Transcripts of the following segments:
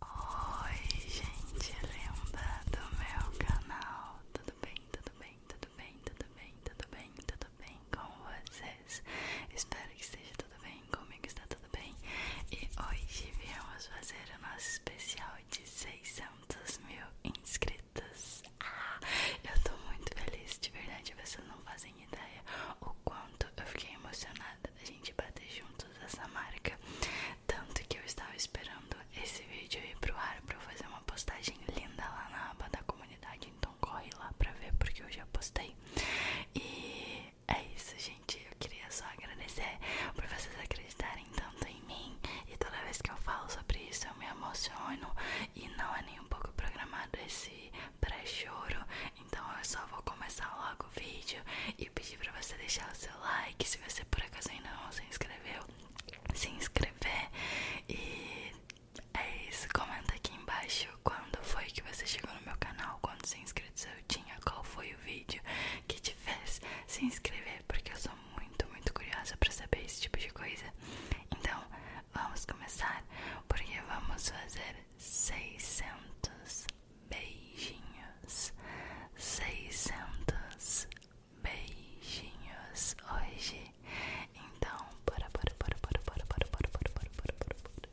Oi, gente lembra do meu canal. Tudo bem, tudo bem, tudo bem, tudo bem, tudo bem, tudo bem com vocês? Espero que esteja tudo bem, comigo está tudo bem. E hoje viemos fazer o nosso especial de 600 mil inscritos. Ah, eu tô muito feliz, de verdade, vocês não fazem ideia o quanto eu fiquei emocionada vontade da gente bater juntos essa marca. Tanto que eu estava esperando esse vídeo ir o ar para eu fazer uma postagem linda lá na aba da comunidade. Então corre lá para ver porque eu já postei. E é isso, gente. Eu queria só agradecer por vocês acreditarem tanto em mim. E toda vez que eu falo sobre isso, eu me emociono. E não é nem um pouco programado esse pré-choro. Então eu só vou começar logo o vídeo e pedir pra você deixar o seu like. Se você por acaso ainda não se inscreveu, se inscrever. E é isso. Comenta aqui embaixo quando foi que você chegou no meu canal, quantos se inscritos eu tinha, qual foi o vídeo que te fez se inscrever, porque eu sou muito, muito curiosa pra saber esse tipo de coisa. Então vamos começar, porque vamos fazer 600 beijinhos, seiscentos beijinhos hoje. Então, bora, bora, bora, bora, bora, bora, bora, bora, bora, bora, bora, bora.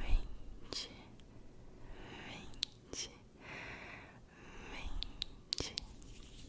vinte, vinte, vinte. Trinta, trinta, trinta.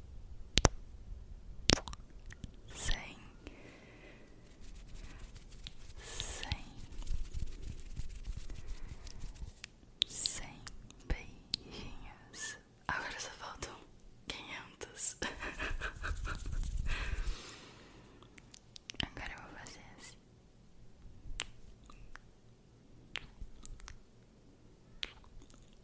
cem, cem, cem beijinhos. Agora só faltam quinhentos. Agora eu vou fazer assim.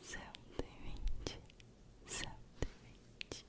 Céu demente, céu Céu demente, céu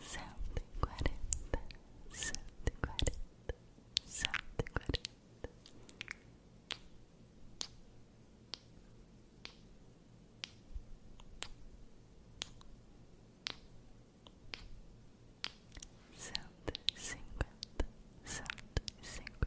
cento e quarenta, cento e quarenta, cento e quarenta. Cento e cinquenta, cento e cinquenta,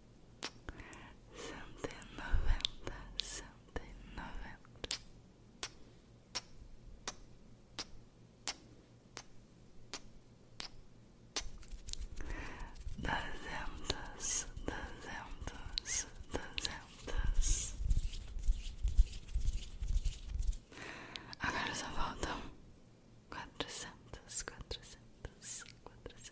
cento e noventa, cento e noventa. Duzentas, duzentos duzentas. Agora só faltam quatrocentas, quatrocentas, quatrocentas.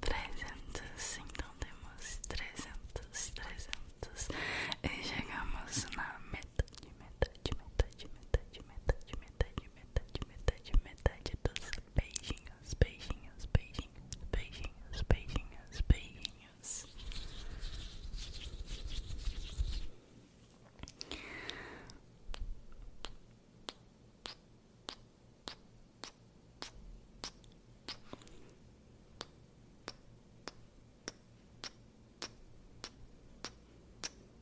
Trezentos, então temos trezentos, trezentos e chegamos na metade, metade, metade, metade, metade, metade, metade, metade, metade, dos beijinhos, beijinhos, beijinhos, beijinhos, beijinhos, beijinhos. beijinhos, beijinhos, beijinhos, beijinhos, beijinhos, beijinhos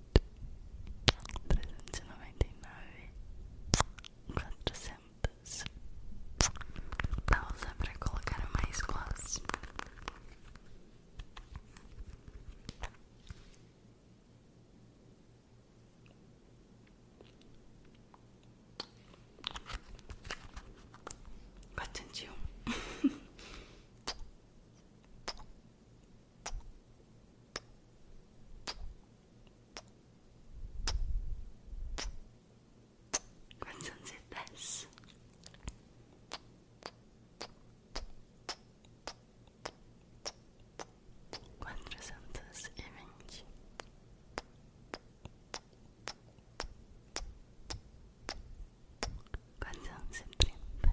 trezentos e noventa e nove, quatrocentos. Pausa para colocar mais gloss. Quatrocentos Quantos anos você faz? Quatrocentos e vinte. Quatrocentos e trinta.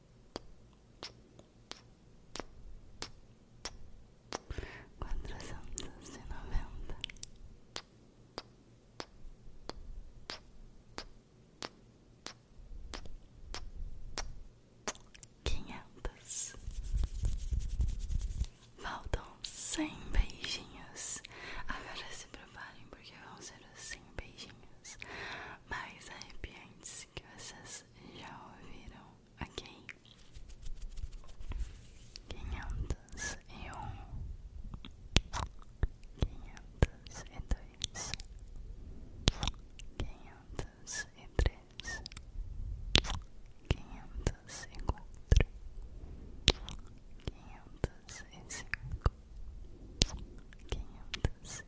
Quatrocentos e noventa. Quinhentos. Faltam cem beijinhos. Agora se preparem porque vão ser os cem beijinhos mais arrepiantes que vocês já ouviram aqui quinhentos e um, quinhentos e dois, quinhentos e três, quinhentos e quatro, quinhentos e cinco, quinhentos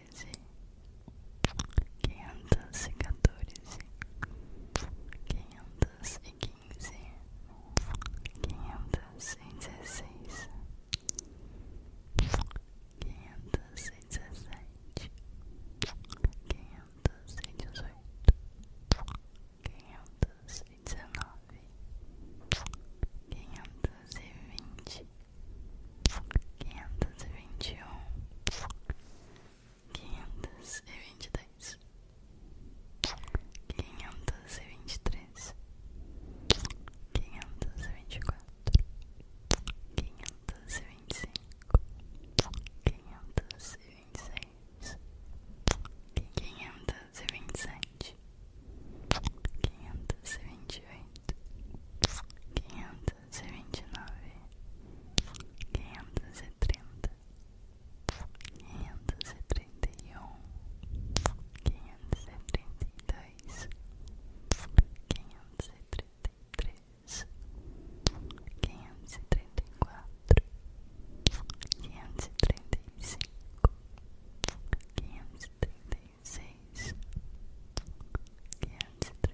treze, quinhentos e quatorze, quinhentos e quinze, quinhentos e dezesseis, quinhentos e dezessete, quinhentos e dezoito, quinhentos e dezenove, quinhentos e vinte. Quinhentos e vinte e um, quinhentos e vinte e dois, quinhentos e vinte e três, quinhentos e vinte e quatro, quinhentos e vinte e cinco, quinhentos e vinte e seis, quinhentos e vinte e sete, quinhentos e vinte e oito, quinhentos quinhentos quinhentos e trinta, quinhentos e trinta e um, quinhentos e trinta e dois, quinhentos e trinta e três, quinhentos e trinta e quatro, quinhentos e trinta e cinco, quinhentos e trinta e seis, quinhentos e trinta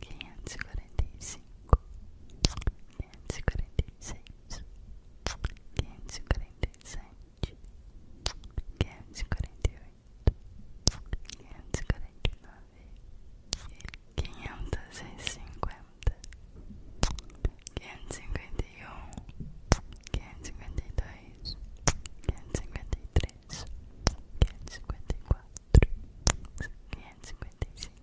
quinhentos e quarenta e cinco, quinhentos e quarenta e seis, quinhentos e quarenta e sete, quinhentos e quarenta e oito, quinhentos e quarenta e nove, quinhentos e cinquenta, quinhentos e cinquenta e um, quinhentos e cinquenta e dois, quinhentos e cinquenta e três, quinhentos e cinquenta e quatro, quinhentos e cinquenta e cinco.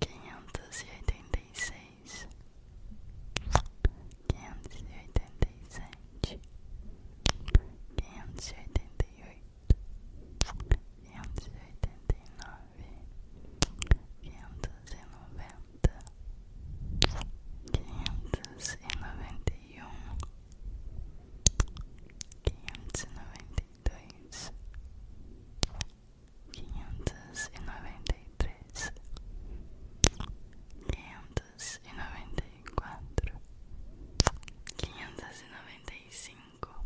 quinhentos e oitenta e seis, quinhentos e oitenta e sete, quinhentos e oitenta e oito, quinhentos e oitenta e nove, quinhentos e noventa, quinhentos e noventa e um, quinhentos e noventa e dois quinhentos e noventa e três, quinhentos e noventa e quatro, quinhentos e noventa e cinco,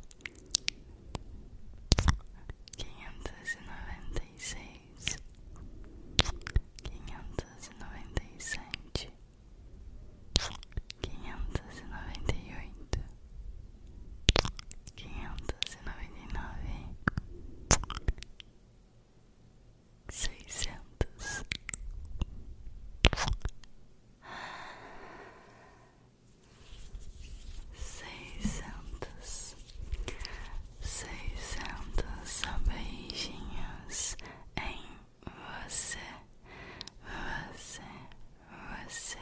quinhentos e noventa e seis, quinhentos e noventa e sete, quinhentos e noventa e oito quinhentos e noventa e nove, seiscentos. Seiscentos, seiscentos beijinhos em você, você, você.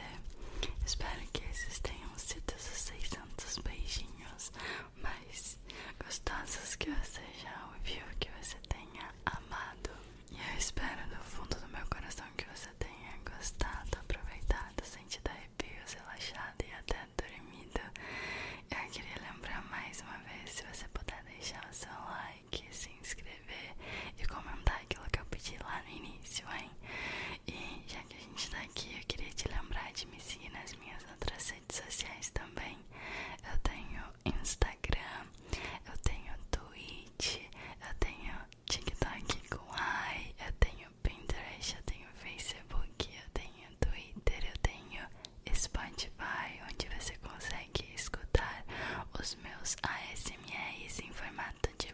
Espero que esses tenham sido os 600 beijinhos mais gostosos que você já ouviu, que você tenha amado. E eu espero do fundo do meu coração que você tenha gostado, aproveitado, sentido arrepios, relaxado e até dormido. Eu queria lembrar mais uma vez, se você puder deixar o seu like, se inscrever e comentar aquilo que eu pedi lá no início, hein? E já que a gente tá aqui, eu queria te lembrar de me seguir nas minhas outras redes sociais também. Eu tenho Instagram, eu tenho Twitch, eu tenho TikTok com AI, eu tenho Pinterest, eu tenho Facebook, eu tenho Twitter, eu tenho Spotify, onde você consegue escutar os meus ASMRs em formato de